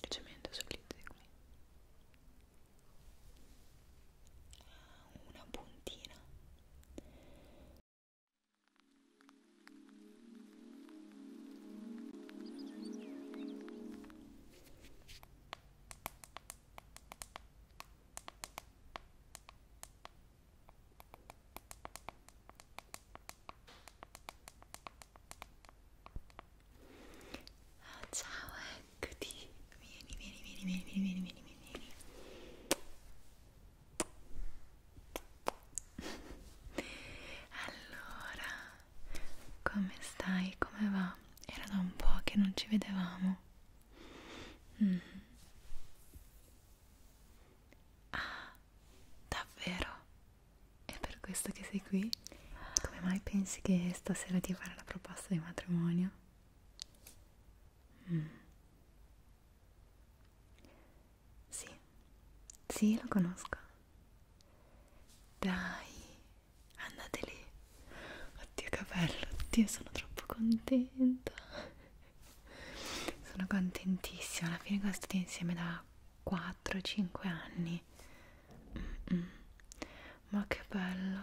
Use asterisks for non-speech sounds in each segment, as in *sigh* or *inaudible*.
Leggermente sull'integno una puntina Oh, ciao, eccoti. Vieni, vieni, vieni, vieni, vieni, vieni, vieni, vieni. Allora, come stai? Come va? Era da un po' che non ci vedevamo. Mm. Ah, davvero? È per questo che sei qui? Come mai pensi che stasera ti farà la proposta di matrimonio? Mm. Sì, sì, lo conosco. Dai, andate lì oddio che bello oddio sono troppo contenta sono contentissima alla fine cosa state insieme da 4-5 anni mm -mm. ma che bello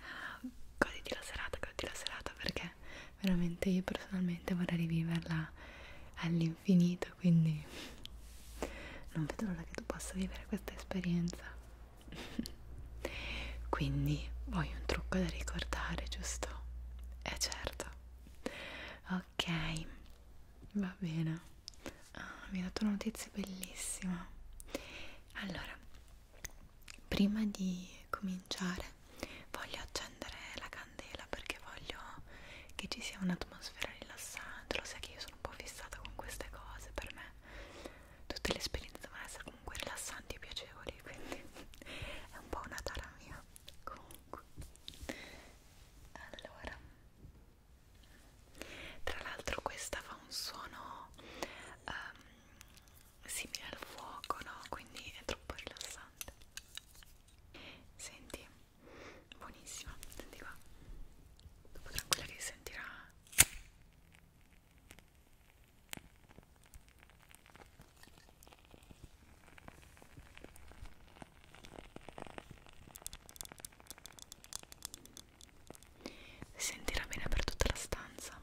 ah, goditi la serata goditi la serata perché veramente io personalmente vorrei riviverla all'infinito vita quindi non vedo l'ora che tu possa vivere questa esperienza *laughs* quindi vuoi un trucco da ricordare giusto? è eh certo ok va bene ah, mi hai dato una notizia bellissima allora prima di cominciare voglio accendere la candela perché voglio che ci sia un'atmosfera rilassante lo sai che io sono un po' fissata con queste cose per me tutte le esperienze devono essere comunque rilassanti e piacevoli quindi *laughs* è un po' una tara mia comunque allora tra l'altro questa fa un suono um, simile al fuoco no quindi è troppo rilassante senti buonissima senti qua dopo tranquilla che sentirà si sentirà bene per tutta la stanza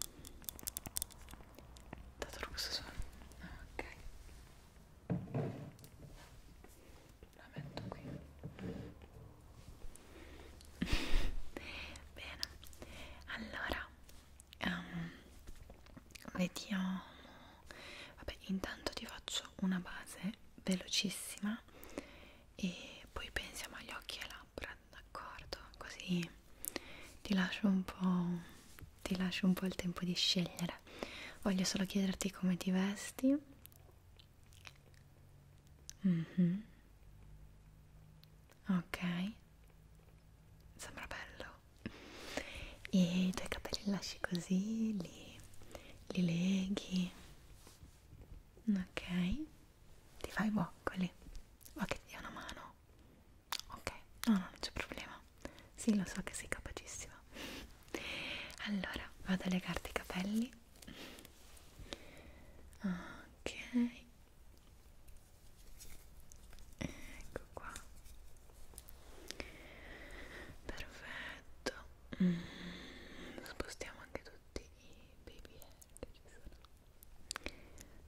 dato questo suono ah, ok la metto qui bene allora um, vediamo vabbè intanto ti faccio una base velocissima e poi pensiamo agli occhi e labbra d'accordo così ti lascio un po' ti lascio un po' il tempo di scegliere voglio solo chiederti come ti vesti Mm-hmm. Ok, sembra bello. E i tuoi capelli lasci così, li, li leghi. Ok, ti fai i boccoli. Vuoi che ti dia una mano? Ok, no, no, non c'è problema. Sì, lo so che sei capacissima. Allora, vado a legarti i capelli ok ecco qua perfetto mm. spostiamo anche tutti i baby che ci sono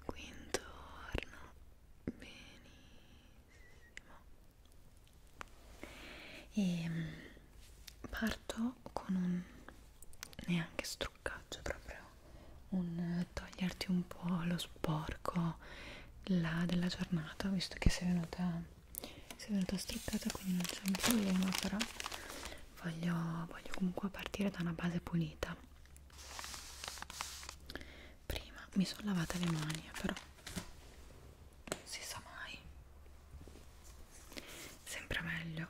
qui intorno benissimo e mm, parto con un neanche struccaggio proprio un eh, toglierti un po' lo sporco là della giornata visto che sei venuta sei venuta struccata quindi non c'è un problema però voglio, voglio comunque partire da una base pulita prima mi sono lavata le mani però si sa mai Sembra meglio.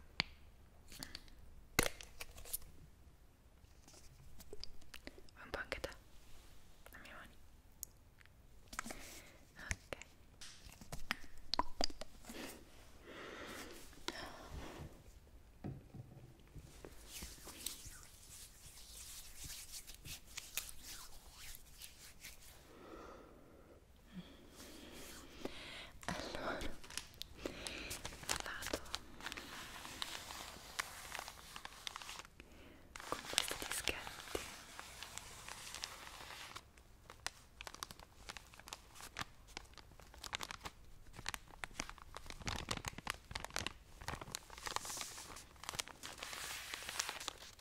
Vai un po' anche te, le mie mani. Ok allora vado con questi dischetti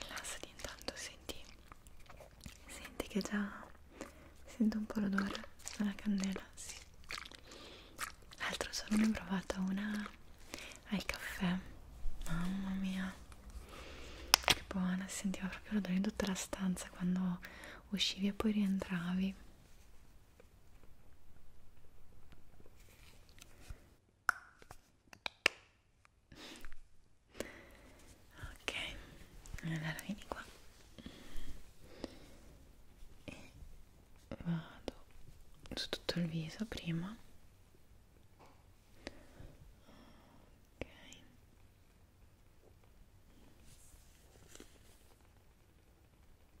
rilassati intanto senti senti che già sento un po' l'odore della candela sì l'altro giorno ne ho provata una al caffè mamma mia che buona sentiva proprio l'odore in tutta la stanza quando uscivi e poi rientravi ok allora vieni qua e vado su tutto il viso prima ok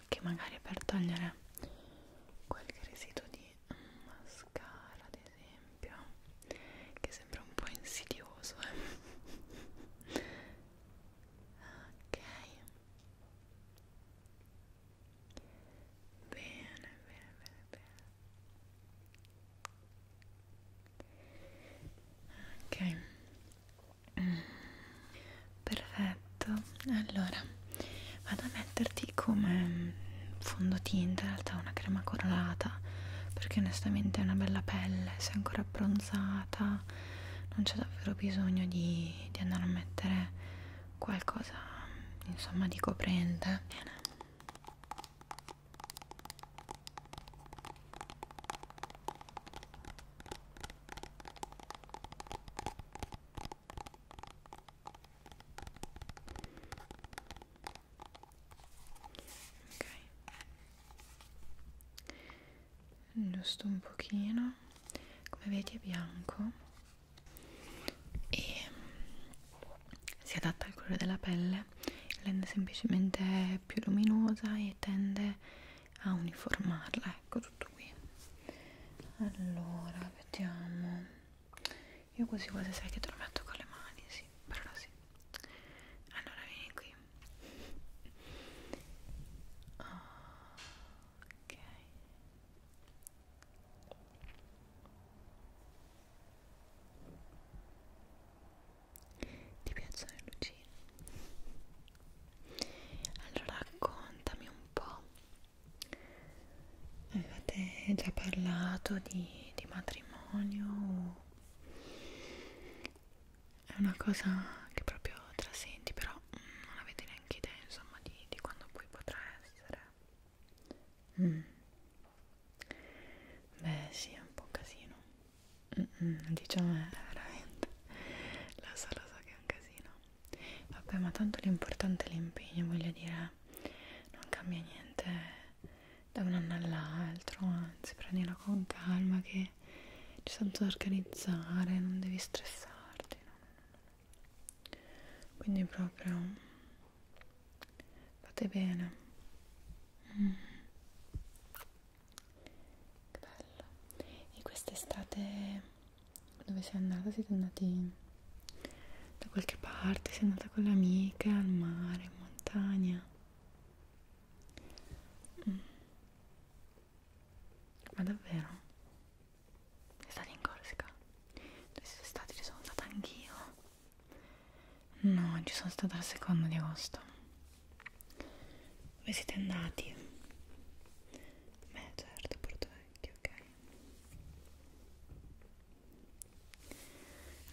occhi magari per togliere qualche residuo di mascara ad esempio che sembra un po' insidioso eh? ok bene bene bene bene ok mm perfetto allora vado a metterti come fondotinta in realtà una crema colorata perché onestamente è una bella pelle sei ancora abbronzata non c'è davvero bisogno di, di andare a mettere qualcosa insomma di coprente bene ok giusto un pochino come vedi è bianco e mm, si adatta al colore della pelle rende semplicemente più luminosa e tende a uniformarla ecco tutto qui allora vediamo io così quasi sai che te lo metto con le mani sì però sì allora vieni qui ok ti piacciono le lucine? Allora raccontami un po' avevate già parlato di, di matrimonio è una cosa che proprio trasenti però non avete neanche idea insomma di, di quando poi potrà essere mm. beh sì è un po' un casino mm -mm, diciamo è veramente *laughs* lo so lo so che è un casino vabbè ma tanto l'importante è l'impegno voglio dire non cambia niente da un anno all'altro anzi prendila con calma che ci sono da organizzare non devi stressarti no, no, no. quindi proprio fate bene mm. che bello e quest'estate dove sei andata? Siete andati da qualche parte? Sei andata con le amiche al mare, in montagna? Mm. Ma davvero? Sei stata in Corsica? Dove siete stati? Ci sono andata anch'io? No, ci sono stata il secondo di agosto. Dove siete andati? Beh, certo, Porto Vecchio, ok.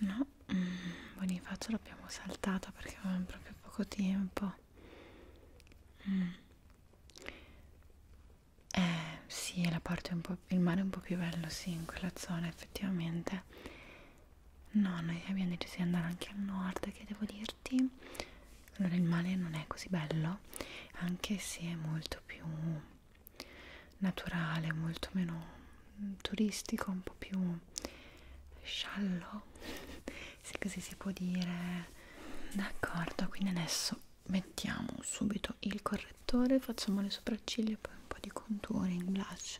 No, mm, Bonifacio l'abbiamo saltato perché avevamo proprio poco tempo. Mm. Eh sì, la parte un po', il mare è un po' più bello, sì, in quella zona effettivamente. No, noi abbiamo deciso di andare anche al nord, che devo dirti allora il male non è così bello anche se è molto più naturale molto meno turistico un po' più sciallo *laughs* se così si può dire d'accordo quindi adesso mettiamo subito il correttore facciamo le sopracciglia poi un po' di contouring blush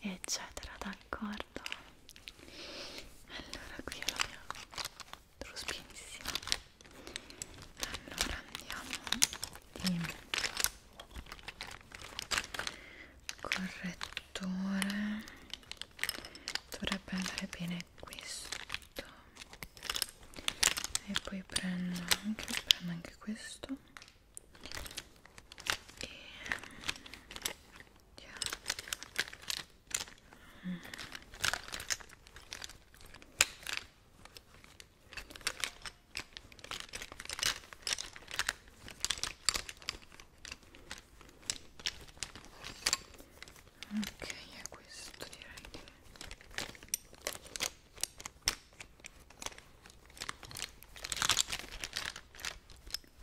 eccetera d'accordo allora qui lo abbiamo Rospinissima. Allora andiamo di correttore. Dovrebbe andare bene questo. E poi prendo anche, prendo anche questo. E andiamo ok è questo direi che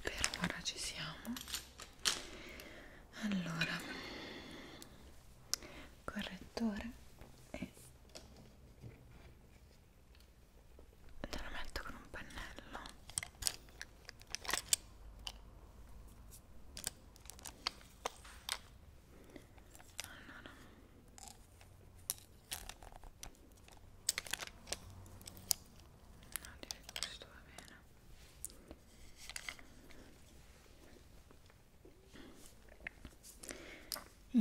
per ora ci siamo allora correttore e te lo metto con un pennello allora no direi che questo va bene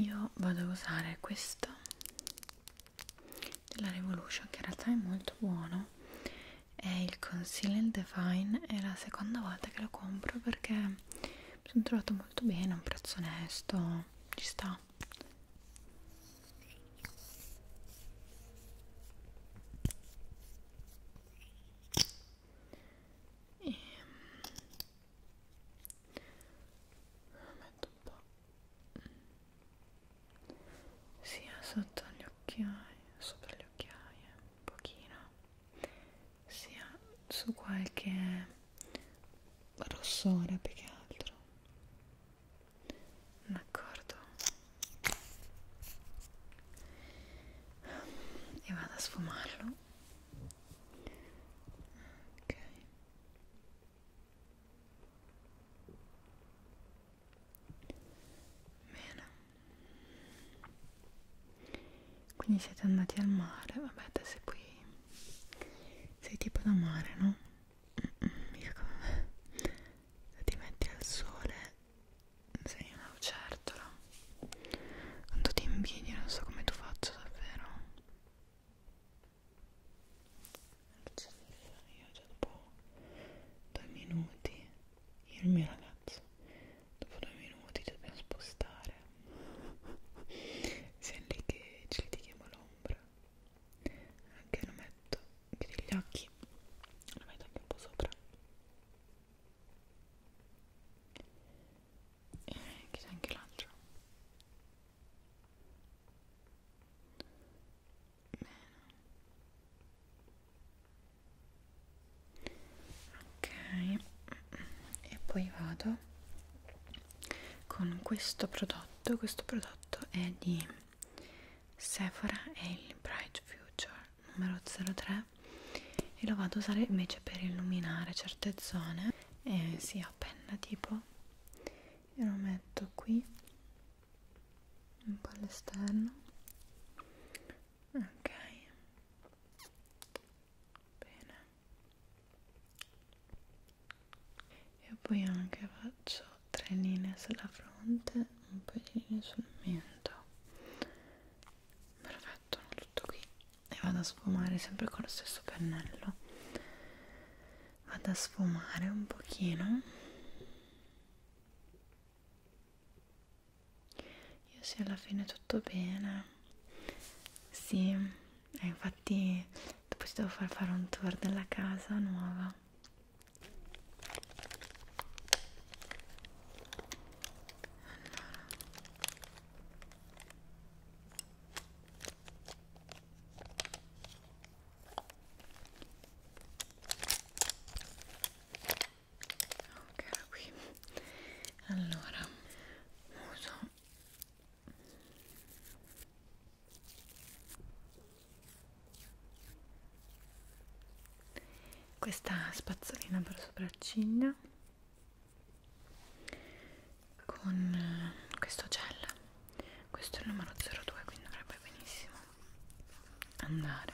io vado a usare questo della Revolution che in realtà è molto buono è il Conceal and Define è la seconda volta che lo compro perché mi sono trovato molto bene a un prezzo onesto ci sta e ehm, metto un po' sia sotto gli occhiali sopra gli occhiali eh, un pochino sia su qualche rossore più che altro d'accordo e vado a sfumarlo ok bene quindi siete andati al mare vabbè adesso qui sei tipo da mare no? Mm, mm, mica come me ti metti al sole sei una lucertola. Quanto ti invidio, non so come tu faccia davvero. Io già dopo due minuti, io e il mio ragazzo, dopo due minuti ci dobbiamo spostare. Siamo lì che ci litighiamo l'ombra. Anche lo metto, chiudi gli occhi, lo metto anche un po' sopra e eh, chissà anche l'altro bene ok e poi vado con questo prodotto questo prodotto è di Sephora e il Bright Future numero 03 e lo vado a usare invece per illuminare certe zone e si sì, penna tipo e lo metto qui un po' all'esterno ok bene e poi anche faccio tre linee sulla fronte un po' di linee sul mento perfetto tutto qui e vado a sfumare sempre con lo stesso pennello vado a sfumare un pochino io sì alla fine tutto bene sì e eh, infatti dopo ti devo far fare un tour della casa nuova ok era qui allora uso questa spazzolina per sopracciglia con eh, questo gel questo è il numero 02 quindi dovrebbe benissimo andare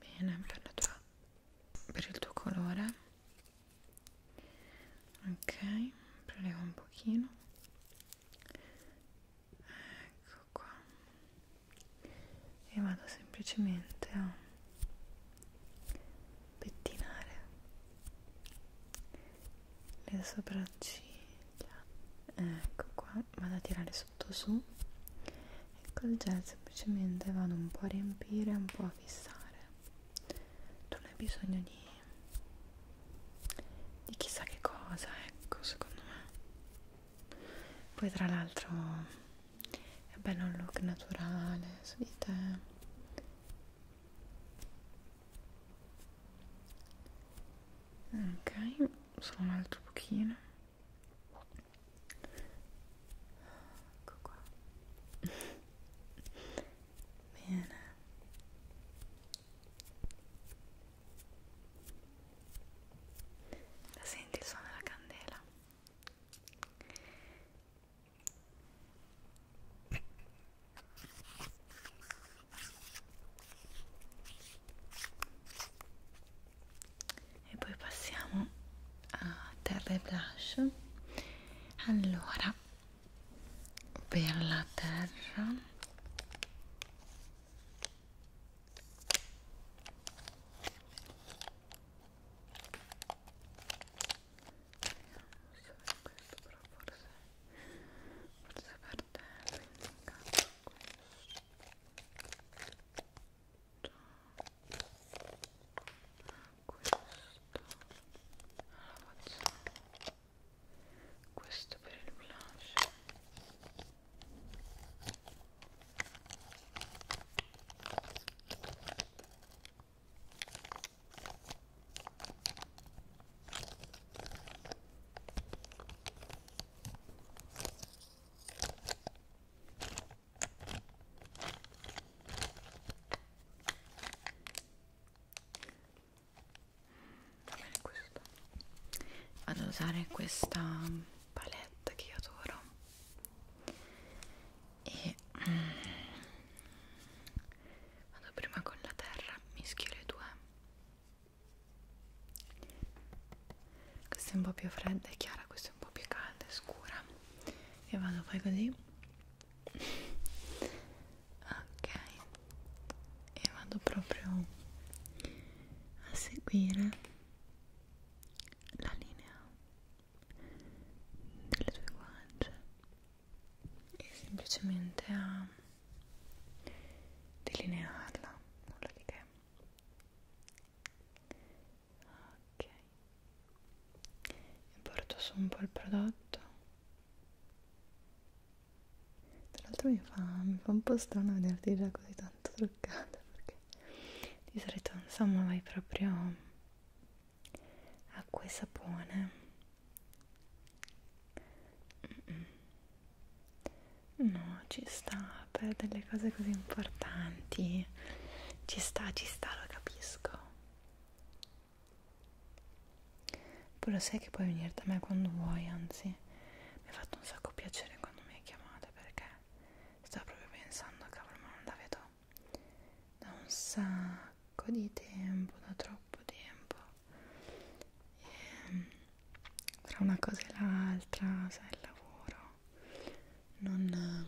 bene per, la tua, per il tuo colore ok prelevo un pochino ecco ecco qua e vado semplicemente a pettinare le sopracciglia ecco qua vado a tirare sotto su e col gel semplicemente vado un po' a riempire un po' a fissare non hai bisogno di di chissà che cosa ecco secondo me poi tra l'altro è bello un look naturale su di te ok solo un altro pochino ecco qua bene la senti il suono della candela e poi passiamo a terra e blush allora per la terra Vediamo se è questo, però forse, forse per te quindi in caso questo questo allora facciamo questo per il blush Vado ad usare questa palette che io adoro e mm, vado prima con la terra mischio le due questa è un po' più fredda e chiara questa è un po' più calda e scura e vado poi così ok e vado proprio a seguire la linea delle tue guance e semplicemente a delinearla, nulla di che. Ok, e porto su un po' il prodotto. Tra l'altro mi, mi fa un po' strano vederti già così tanto truccata perché di solito insomma vai proprio acqua e sapone no ci sta per delle cose così importanti ci sta ci sta lo capisco poi lo sai che puoi venire da me quando vuoi anzi mi ha fatto un sacco piacere quando mi hai chiamata perché Stavo proprio pensando, cavolo, ma non la vedo da un sacco di tempo, da troppo tempo. E, ehm, tra una cosa e l'altra, sai, il lavoro, non...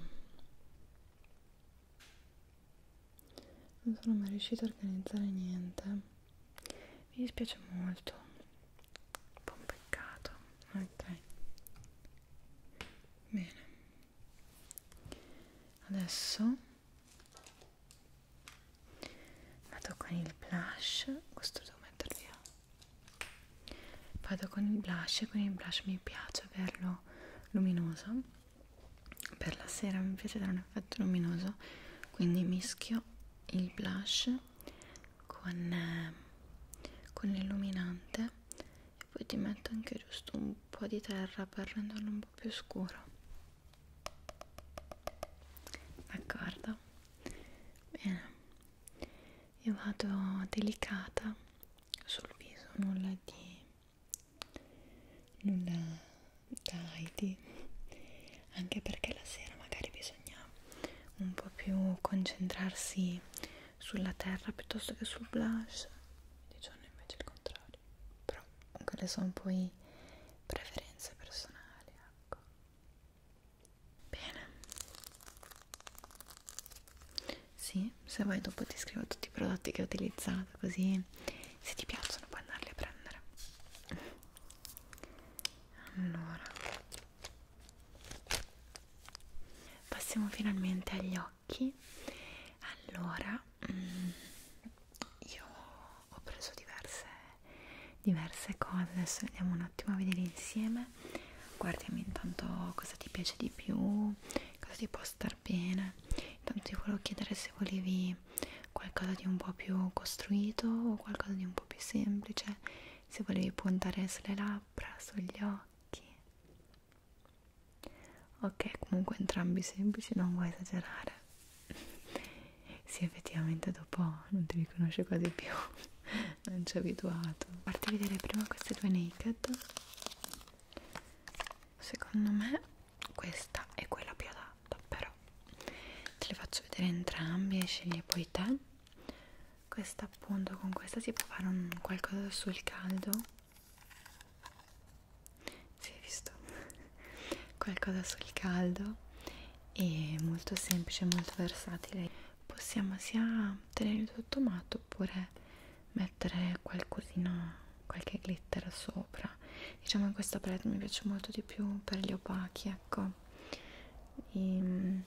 Non sono mai riuscita a organizzare niente. Mi dispiace molto un po' un peccato ok bene adesso vado con il blush questo devo metterlo via vado con il blush e con il blush mi piace averlo luminoso per la sera mi piace dare un effetto luminoso quindi mischio il blush con, eh, con l'illuminante e poi ti metto anche giusto un po' di terra per renderlo un po' più scuro d'accordo? bene io vado delicata sul viso nulla di nulla da Heidi anche perché la sera magari bisogna un po' più concentrarsi sulla terra piuttosto che sul blush di giorno invece il contrario però quelle sono poi preferenze personali ecco bene sì, se vuoi dopo ti scrivo tutti i prodotti che ho utilizzato così se ti piacciono puoi andarli a prendere allora Passiamo finalmente agli occhi. Allora, mm, io ho preso diverse, diverse cose, adesso andiamo un attimo a vedere insieme. Guardiamo intanto cosa ti piace di più, cosa ti può star bene. Intanto ti volevo chiedere se volevi qualcosa di un po' più costruito o qualcosa di un po' più semplice, se volevi puntare sulle labbra labbra, sugli occhi ok comunque entrambi semplici non vuoi esagerare *laughs* sì effettivamente dopo non ti riconosce quasi più *laughs* non ci ho abituato farti vedere prima queste due naked secondo me questa è quella più adatta però te le faccio vedere entrambi e scegli poi te questa appunto con questa si può fare un qualcosa sul caldo si è visto *laughs* qualcosa sul caldo e molto semplice molto versatile possiamo sia tenere tutto matto oppure mettere qualcosina qualche glitter sopra diciamo che questa palette mi piace molto di più per gli opachi ecco e, ehm,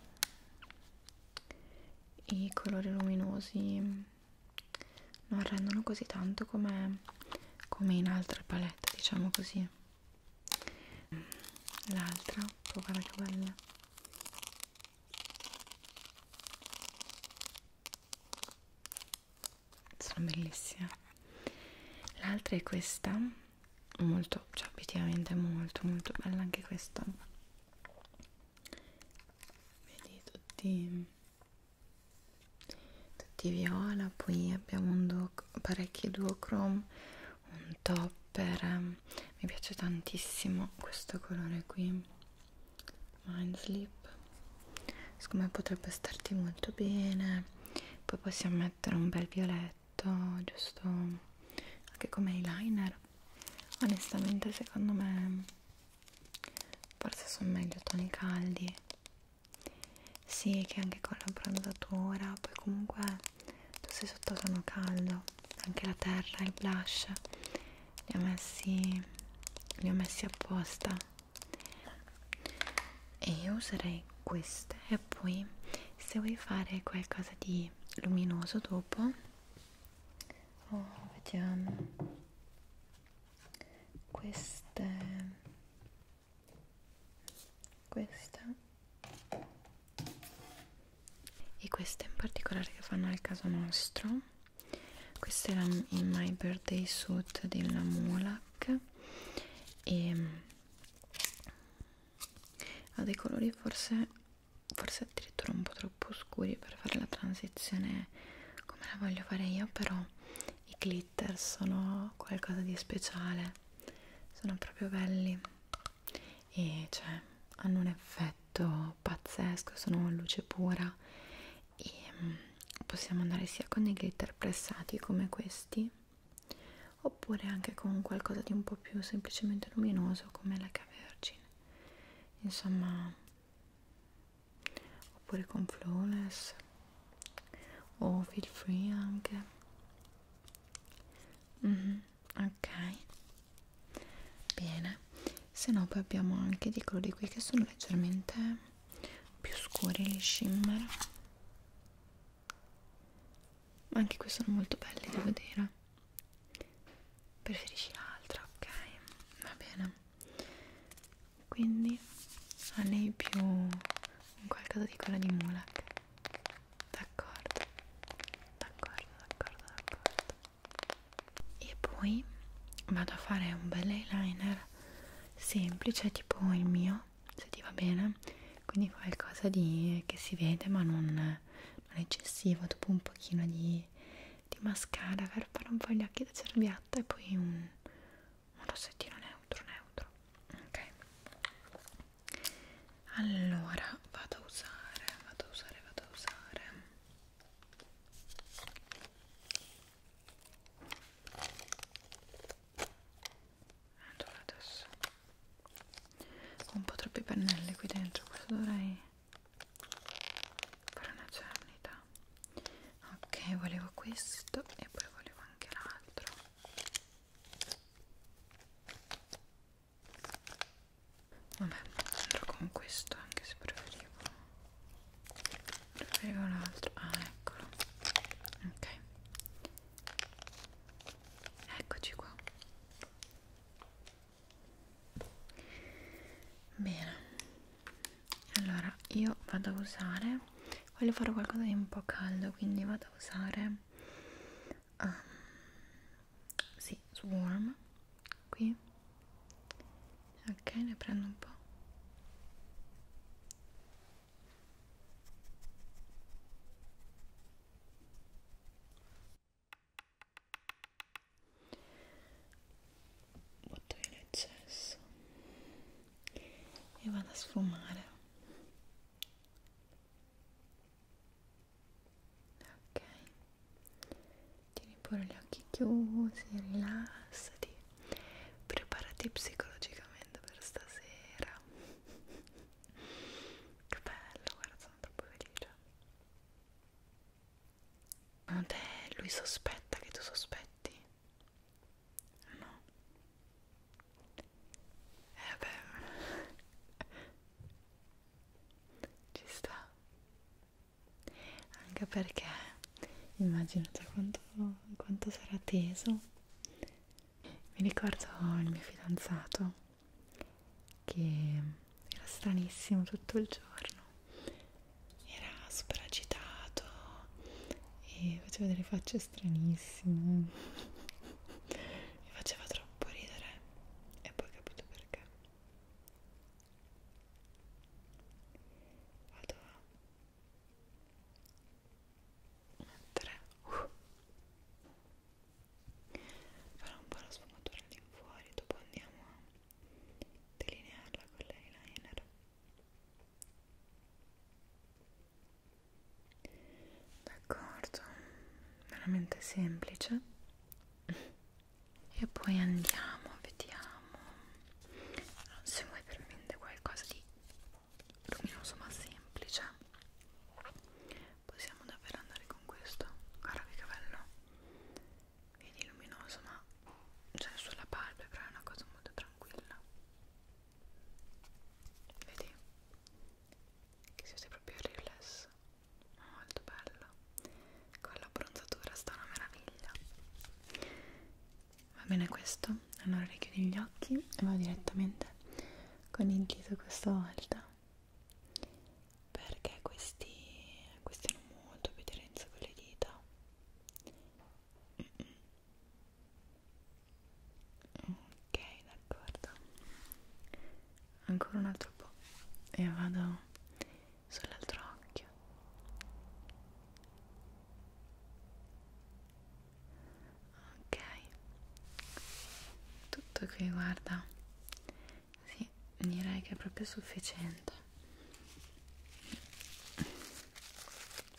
i colori luminosi non rendono così tanto come, come in altre palette, diciamo così. L'altra, oh guarda che bella. Sono bellissime. L'altra è questa, molto, cioè obiettivamente molto molto bella anche questa vedi tutti tutti viola poi abbiamo un duo, parecchi duochrome un topper mi piace tantissimo questo colore qui mindslip siccome potrebbe starti molto bene poi possiamo mettere un bel violetto effetto giusto anche come eyeliner onestamente secondo me forse sono meglio toni caldi sì che anche con la bronzatura poi comunque tu sei sottotono caldo anche la terra il blush li ho messi li ho messi apposta e io userei queste e poi se vuoi fare qualcosa di luminoso dopo oh, vediamo queste questa e queste in particolare che fanno al caso nostro questa era in my birthday suit della Mulak e ehm, ha dei colori forse forse addirittura un po' troppo scuri per fare la transizione come la voglio fare io però i glitter sono qualcosa di speciale sono proprio belli e cioè hanno un effetto pazzesco sono luce pura e mm, possiamo andare sia con dei glitter pressati come questi oppure anche con qualcosa di un po' più semplicemente luminoso come la extra vergine insomma oppure con flawless o feel free anche mm -hmm, ok bene se no poi abbiamo anche di colori qui che sono leggermente più scuri gli shimmer ma anche qui sono molto belli devo dire preferisci l'altra ok va bene quindi anei più un qualcosa di quella di Mulak d'accordo d'accordo d'accordo d'accordo e poi vado a fare un bel eyeliner semplice tipo il mio se ti va bene quindi qualcosa di che si vede ma non non eccessivo, dopo un pochino di, di mascara per fare un po' gli occhi da cerbiatta e poi un, un rossettino neutro neutro ok allora vado a usare vado a usare vado a usare allora adesso ho un po' troppi pennelli qui dentro questo dovrei fare una cernita ok volevo questo e poi volevo anche l'altro vabbè andrò con questo anche se preferivo preferivo l'altro ah eccolo ok eccoci qua bene allora io vado a usare voglio fare qualcosa di un po' caldo quindi vado a usare um, sì, swarm qui ok ne prendo un po' butto via l'eccesso e vado a sfumare ok tieni pure gli occhi chiusi rilassati preparati psicologicamente per stasera *laughs* che bello guarda sono troppo felice. Ma te lui sospetta che tu sospetti? No. Eh beh. *laughs* Ci sta. Anche perché immaginate quanto, quanto sarà teso. Mi ricordo il mio fidanzato che era stranissimo tutto il giorno era super agitato e faceva delle facce stranissime *laughs* mi faceva troppo ridere e poi ho capito perché vado a mettere uh farò un po' la sfumatura all'infuori dopo andiamo a delinearla con l'eyeliner d'accordo veramente semplice e poi andiamo vediamo se vuoi veramente qualcosa di luminoso ma semplice possiamo davvero andare con questo guarda che bello vedi luminoso ma cioè sulla palpebra è una cosa molto tranquilla vedi che si usa proprio il riflesso molto bello con la bronzatura sta una meraviglia va bene questo allora richiudi gli occhi e vado direttamente con il dito questa volta perché questi, questi hanno molto obbedienza con le dita mm -mm. ok d'accordo ancora un altro po' e vado sull'altro occhio ok tutto qui guarda sì, direi che è proprio sufficiente.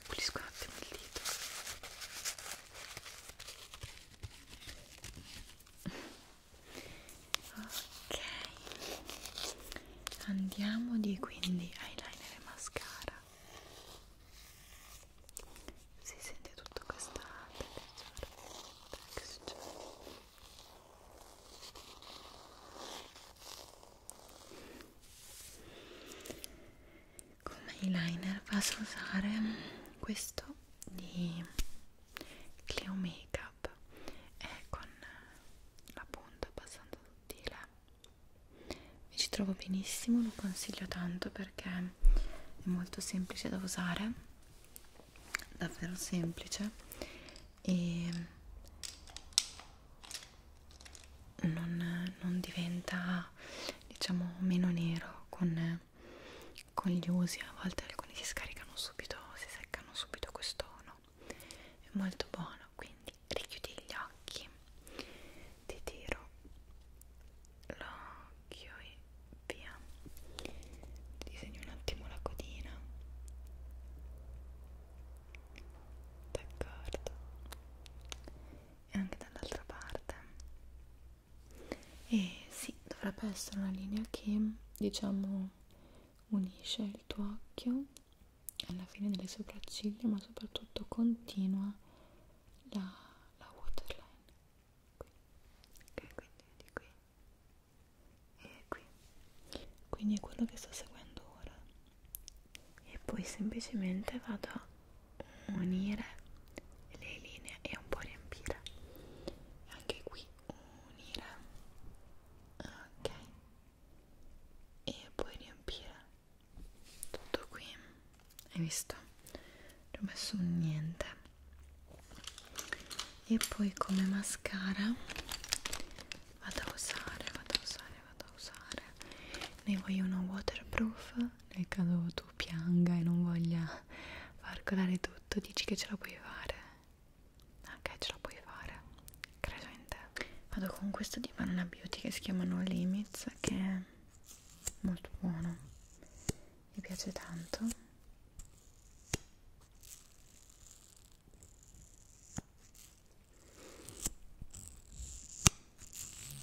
Pulisco un attimo il dito. Ok, andiamo di quindi eyeliner e mascara si sente tutto questa texture come eyeliner vas a usare questo di Cleo Makeup è con la punta abbastanza sottile mi ci trovo benissimo lo consiglio tanto perché è molto semplice da usare davvero semplice e non, non diventa diciamo meno nero con, con gli usi a volte alcuni si scaricano subito si seccano subito questo no è molto buono quindi richiudi gli occhi ti tiro l'occhio e via disegno un attimo la codina d'accordo e anche dall'altra parte e sì dovrebbe essere una linea che diciamo unisce il tuo occhio alla fine delle sopracciglia ma soprattutto continua la, la waterline qui, ok, quindi di qui e qui, quindi è quello che sto seguendo ora e poi semplicemente vado a unire le linee e un po' riempire e anche qui unire ok e poi riempire tutto qui hai visto non ho messo niente e poi come mascara vado a usare vado a usare vado a usare ne voglio uno waterproof nel caso tu pianga e non voglia far colare tutto dici che ce la puoi fare ok ah, ce la puoi fare credo in te vado con questo di Banana Beauty che si chiama No Limits che è molto buono mi piace tanto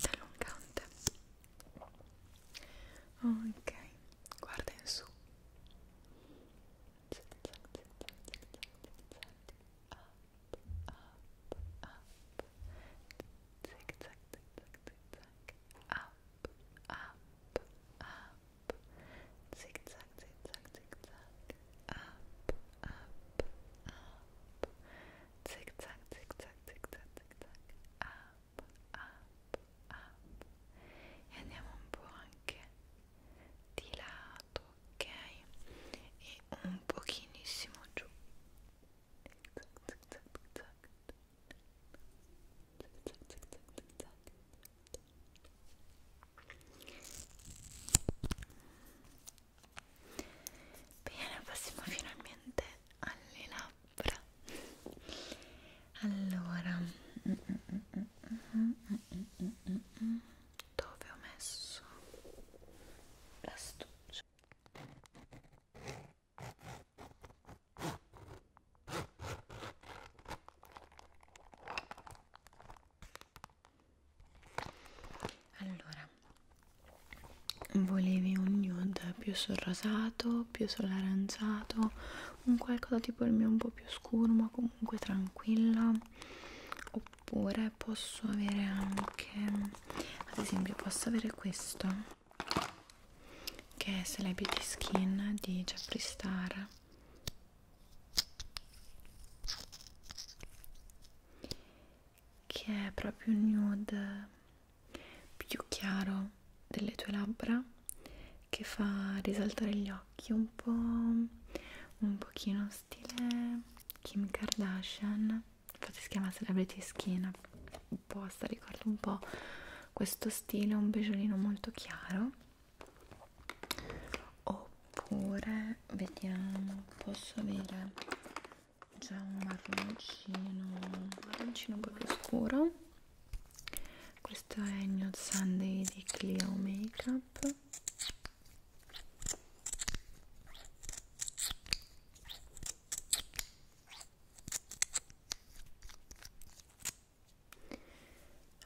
allungante ok guarda in su up up up zig zag zig zag zig zag up up up, zigzag, zigzag, zigzag, up, up, up, zigzag, zigzag, zigzag, zigzag, up, up, up, e andiamo un po' anche di lato, ok? E un pochinissimo giù. zigzag, zigzag. Bene, passiamo finalmente alle labbra. Allora, dove ho messo l'astuccio? Allora, volevi un nude più sul rosato, più sull'aranciato, un qualcosa tipo il mio un po' più scuro ma comunque tranquilla. Oppure posso avere anche, ad esempio, posso avere questo che è Celebrity Skin di Jeffree Star che è proprio un nude più chiaro delle tue labbra che fa risaltare gli occhi un po' un pochino stile Kim Kardashian infatti si chiama Celebrity Skin composta ricorda un po' questo stile un beigeolino molto chiaro oppure vediamo posso avere già un marroncino un marroncino un po' più scuro questo è il Nude Sunday di Clio Makeup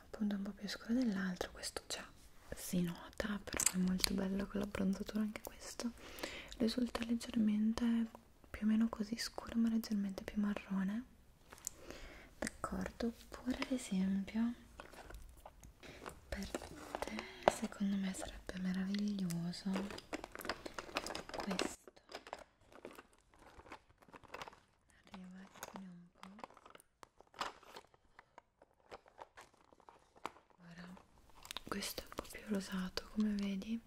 appunto un po' più scuro dell'altro questo già si nota però è molto bello con l'abbronzatura anche questo risulta leggermente più o meno così scuro ma leggermente più marrone d'accordo oppure ad esempio per te secondo me sarebbe meraviglioso questo arriva un po' ora questo è un po' più rosato come vedi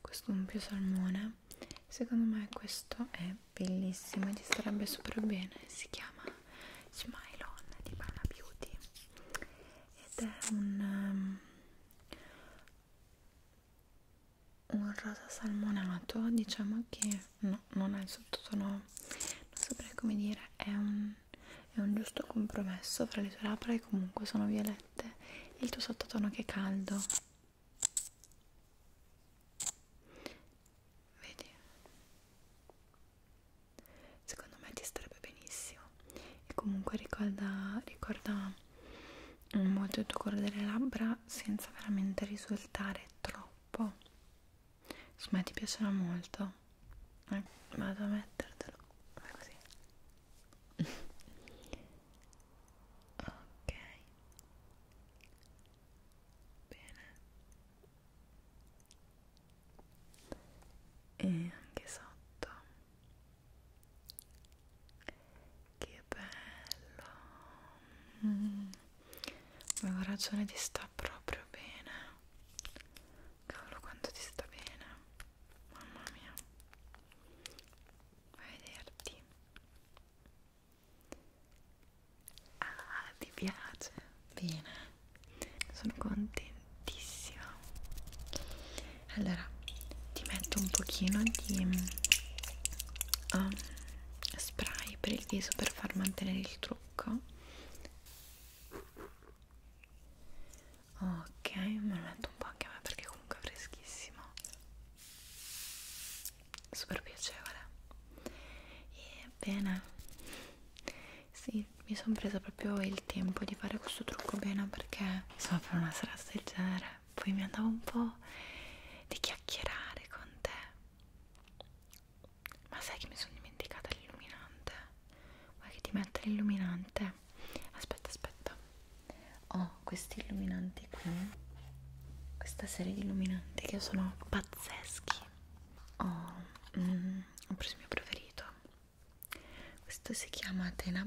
questo è un più salmone secondo me questo è bellissimo e ti starebbe super bene si chiama Smile On di Bana Beauty ed è un um, un rosa salmonato diciamo che no, non è il sottotono non saprei come dire è un, è un giusto compromesso fra le tue labbra che comunque sono violette e il tuo sottotono che è caldo vedi secondo me ti starebbe benissimo e comunque ricorda, ricorda molto il tuo colore delle labbra senza veramente risultare troppo insomma ti piacerà molto eh, vado a mettertelo fai così ok bene e anche sotto che bello. Mm. Avevo ragione, ti sta proprio bene. Cavolo, quanto ti sta bene. Mamma mia. Vai a vederti. Ah, ti piace? Bene. Sono contentissima. Allora, allora ti metto un pochino di um, spray per il viso per far mantenere il trucco ok me lo metto un po' anche a me perché comunque è freschissimo super piacevole e bene sì mi sono presa proprio il tempo di fare questo trucco bene perché insomma per una serata del genere poi mi andavo un po' di chiacchierare con te ma sai che mi sono dimenticata l'illuminante vuoi che ti metta l'illuminante? aspetta aspetta ho oh, questi illuminanti qui questa serie di illuminanti che sono pazzeschi oh, mm, ho preso il mio preferito questo si chiama Atena,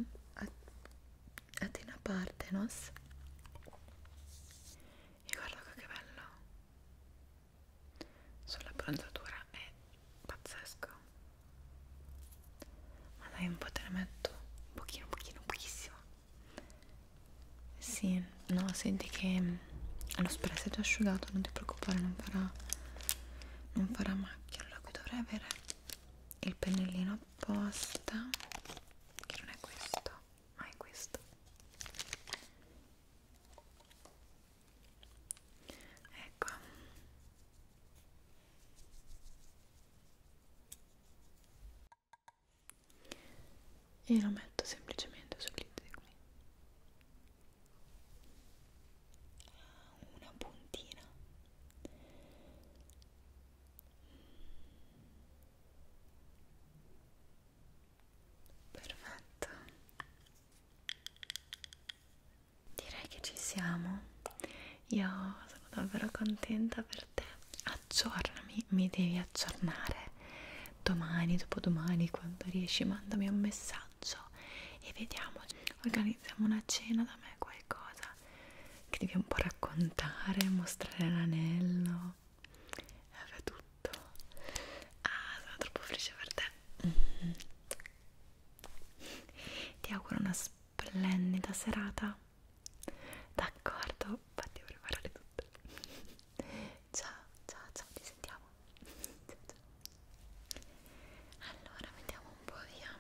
Atena Partenos e guarda che bello sulla bronzatura è pazzesco ma dai un po' te ne metto un pochino un pochino pochissimo sì no senti che mm, lo spray è già asciugato non ti preoccupare non farà non farà macchia allora qui dovrei avere il pennellino apposta che non è questo ma è questo ecco e lo metto semplicemente sul lizio qui ah, una puntina Perfetto. Direi che ci siamo. Io sono davvero contenta per te. Aggiornami, mi devi aggiornare. Domani, dopodomani, quando riesci, mandami un messaggio e vediamo. Organizziamo una cena da me, qualcosa che devi un po' raccontare, mostrare l'anello e aveva tutto. Ah, sono troppo felice per te. Mm -hmm. Ti auguro una splendida serata. D'accordo, fatti preparare tutto. ciao, ciao, ciao, ti sentiamo. ciao, ciao. Allora, mettiamo un po' via.